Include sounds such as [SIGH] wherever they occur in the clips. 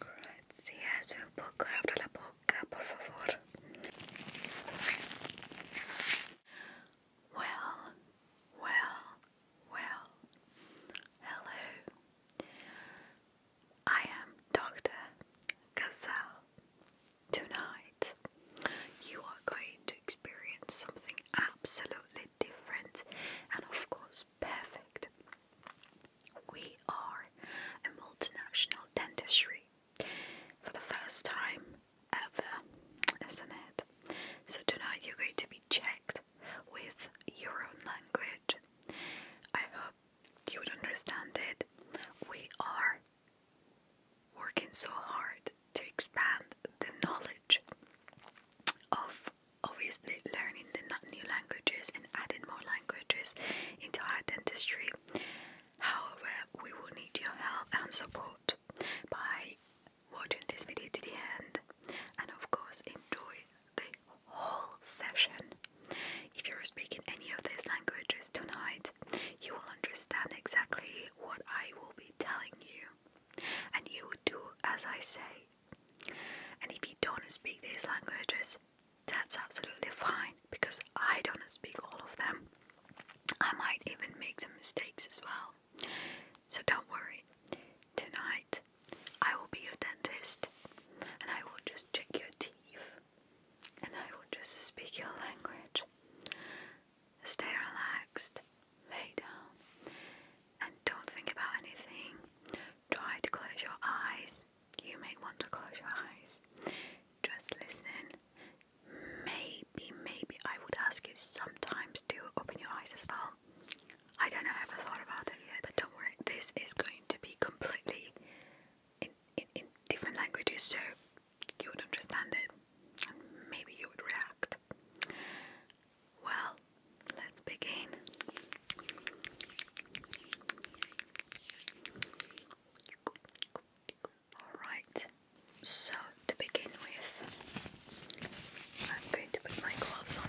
Gracias, sí, un poco, abra la boca, por favor. Well, well, well. Hello. I am Dr. Gazelle. Tonight, you are going to experience something absolutely different and, of course, perfect. We are a multinational dentistry for the first time ever, isn't it? So tonight you're going to be checked with your own language. I hope you would understand it. We are working so hard to expand the knowledge of obviously learning the new languages and adding more languages into our dentistry. However, we will need your help and support by watching this video to the end and of course enjoy the whole session. If you're speaking any of these languages tonight, you will understand exactly what I will be telling you and you will do as I say. And if you don't speak these languages, that's absolutely fine because I don't speak all of them. I might even make some mistakes as well. So don't worry. Tonight, I will be your dentist and I will just check your teeth and I will just speak your language. Stay relaxed, lay down, and don't think about anything. Try to close your eyes. You may want to close your eyes. Just listen. Maybe, maybe I would ask you sometimes to open your eyes as well. I don't know, I haven't thought about it yet, but don't worry, this is going to be completely in, in, in different languages, so you would understand it and maybe you would react. Well, let's begin. Alright, so to begin with, I'm going to put my gloves on.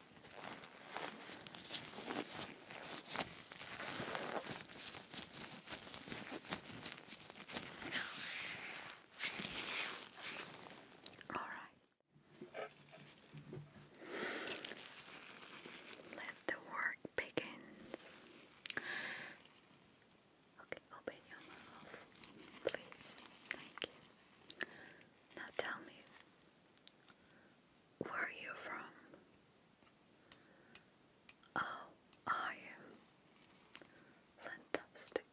All right. Let the work begins. Okay, open your mouth, please. Thank you. Now tell me where are you from? Oh, are you? Fantastic.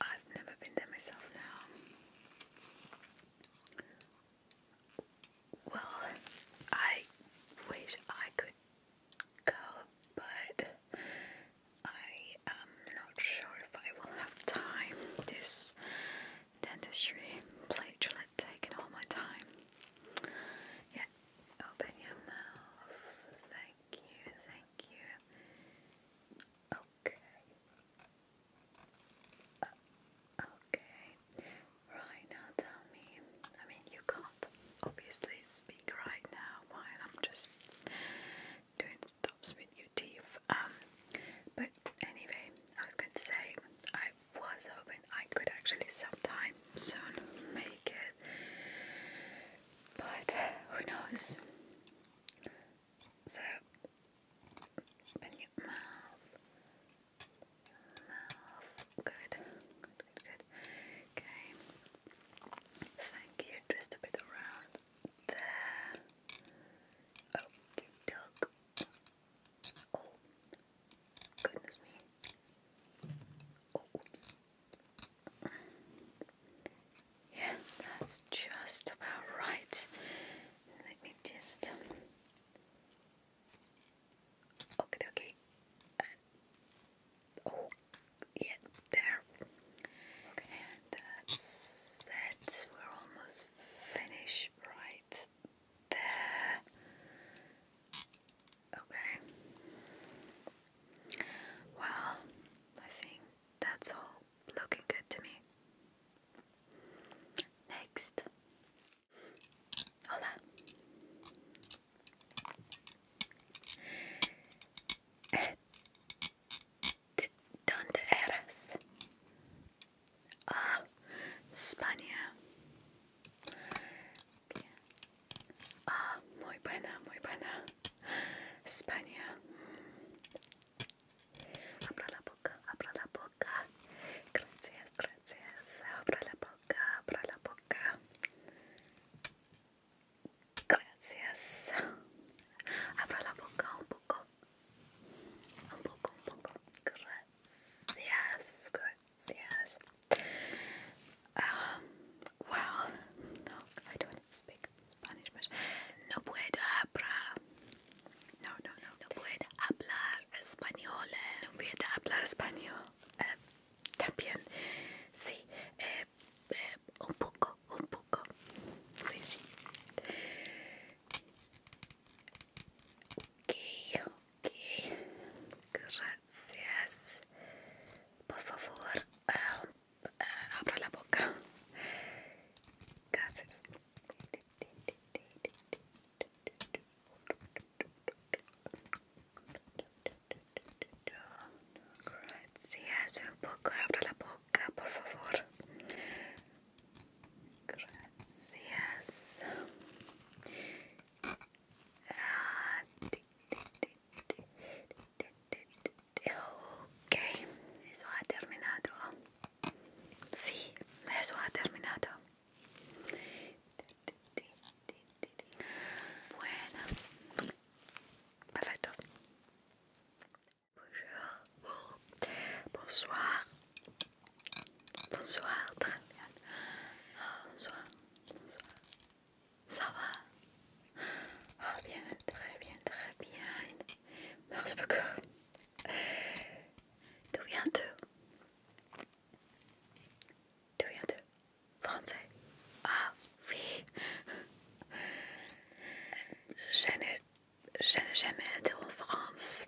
I've never been there myself now. Well, I wish I could go, but I am not sure if I will have time. This dentistry plate will all my time. Yeah, open your mouth. Thank you, thank you. Okay. Uh, okay. Right now, tell me. I mean, you can't obviously speak right now while I'm just doing stops with your teeth. Um, but anyway, I was going to say I was hoping I could actually sometime soon make it, but who knows? So open your mouth, mouth, good, good, good. Okay, thank you. Twist a bit around there. Oh, dog. Oh, goodness me. oops. Yeah, that's just about right. Let me just. Okay, okay. oh, yeah, there that's it. We're almost finished right there. Okay. Well, I think that's all looking good to me. Next. Hola. ¿De dónde eres? Ah, España. Ah, muy buena, muy buena. España. Abra la boca, abra la boca. Gracias, gracias. Abra la boca, abra la boca. Gracias. Abra la boca un poco. un poco, un poco. Gracias, gracias. well, no, I don't speak Spanish much. No puedo hablar. No, no, no. No puedo hablar español. No puedo hablar español. también, sí. un poco, un poco. Sí, sí. Ok, ok. Gracias. Por favor, ah, ah, abra la boca. Gracias. Gracias, un poco, abra la boca. Acá, por favor. Gracias. Ok, eso ha terminado. Sí, eso ha terminado. Bueno, perfecto. Bonjour. Bonsoir. Bonsoir, très bien. Bonsoir. Bonsoir. Ça va ah, bien, très bien, très bien. Merci beaucoup. D'où viens-tu D'où viens-tu Français. Ah oui. Je ne je n'ai jamais été en France.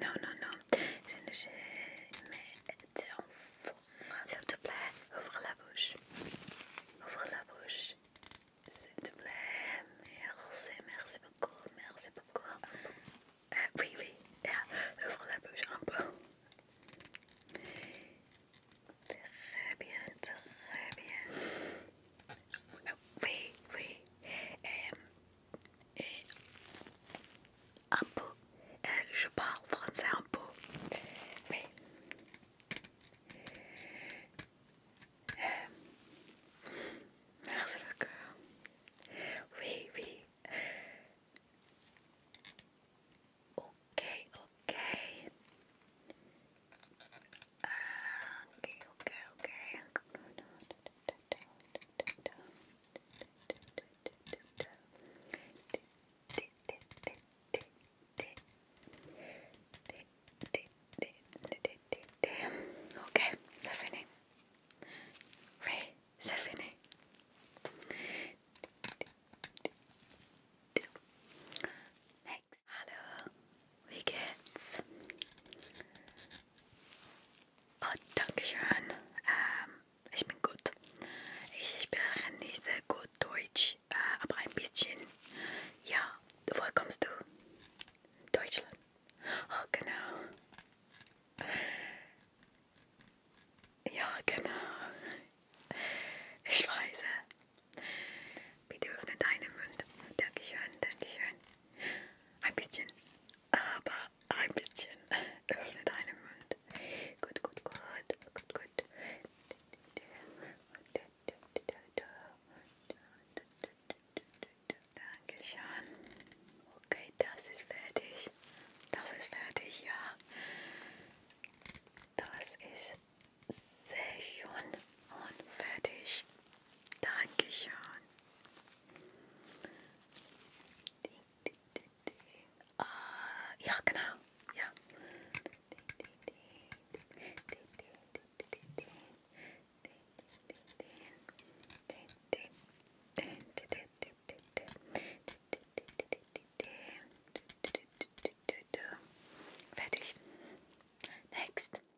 Non, non, non. Je n'ai jamais été en France. S'il te plaît, ouvre la bouche. Ouvre la bouche. S'il te plaît. Merci, merci beaucoup. Merci beaucoup. Euh, oui, oui. Euh, ouvre la bouche un peu. Très bien, très bien. Oui, oui. Et, un peu. je parle français un peu. Oui. Euh, merci merci beaucoup. Oui, oui. Ok, ok. okay, okay, okay. Okay, c'est fini. Oui, Next. Hello. Wie geht's? Oh, danke schön. Ähm, ich bin gut. Ich spreche nicht sehr gut Deutsch, äh, aber ein bisschen. Ja, woher kommst du? Deutschland. Oh, genau. Ja, genau. Ich weiß. Bitte äh, öffne deinen Mund. Dankeschön, Dankeschön. Ein bisschen, aber ein bisschen. [LAUGHS] Öffne deinen Mund. Gut, gut, gut, gut, gut. Danke schön. Okay, das ist fertig. Das ist fertig, ja. Das ist sehr schön und fertig. Dankeschön. Ah, ja, genau. Ja. Fertig. Next.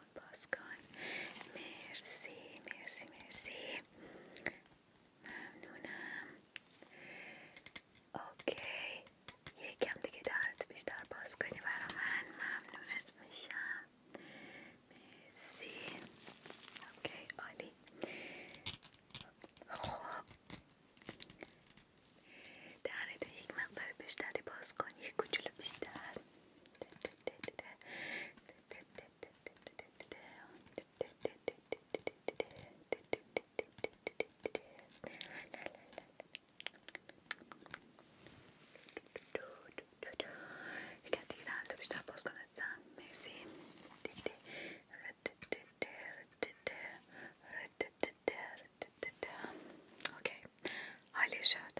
باز کن مرسی مرسی مرسی ممنونم اوکی یکم دیگه درتو بیشتر باز کنی برا من ممنونت میشم مرسی اوکی عالی خب درتو یک مقدار بیشتری باز کن یک کوچولو بیشتر ده ده ده ده كثيرا بيشتغلوا كنسان ميرسي اوكي علي شاد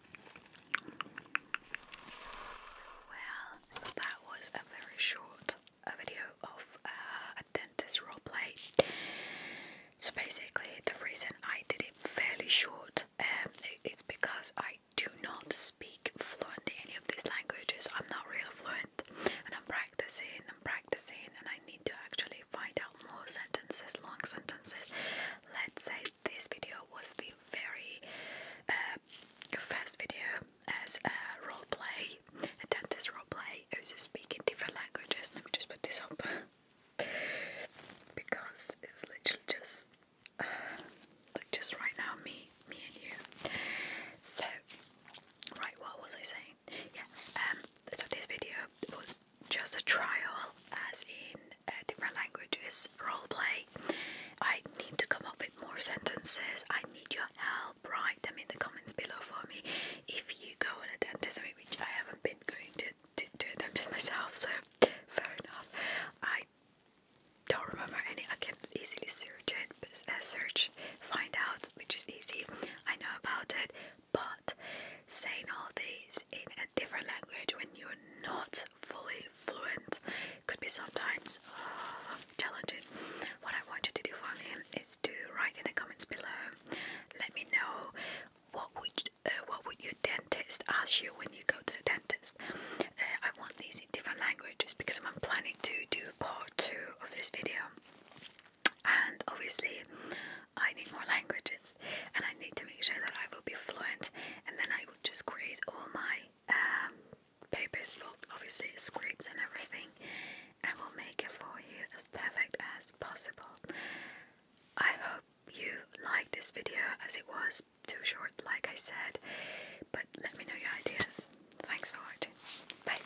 Well, that was a very short uh, video of uh, a dentist roleplay. So basically, the reason I did it fairly short um, is because I do not speak fluently any of these languages. I'm not really fluent, and I'm practicing. I'm practicing, and I need to actually find out more sentences, long sentences. Let's say this video was the very uh, first video as a role play, a dentist role play. It was just speaking different languages. Let me just put this up because it's literally just uh, like just right now, me, me and you. So, right, what was I saying? Yeah. Um. So this video was just a trial, as in different languages role play. I need to come up with more sentences. I need your help. Write them in the comments below for me. If you go on a dentist, I which I haven't been going to, to, to a dentist myself, so far enough. I don't remember any. I can easily search it, uh, search, find out, which is easy. I know about it, but saying all these in a different language when you're not fully fluent could be sometimes uh, challenging. What I want you to do for me is do write in the comments below. Let me know what would uh, what would your dentist ask you when you go to the dentist. Uh, I want these in different languages because I'm planning to do part two of this video, and obviously I need more languages and I need to make sure that I will be fluent and then I will just create all my um, papers for obviously scripts and everything and will make it for you as perfect as possible. I hope you liked this video as it was too short like I said but let me know your ideas. Thanks for watching. Bye.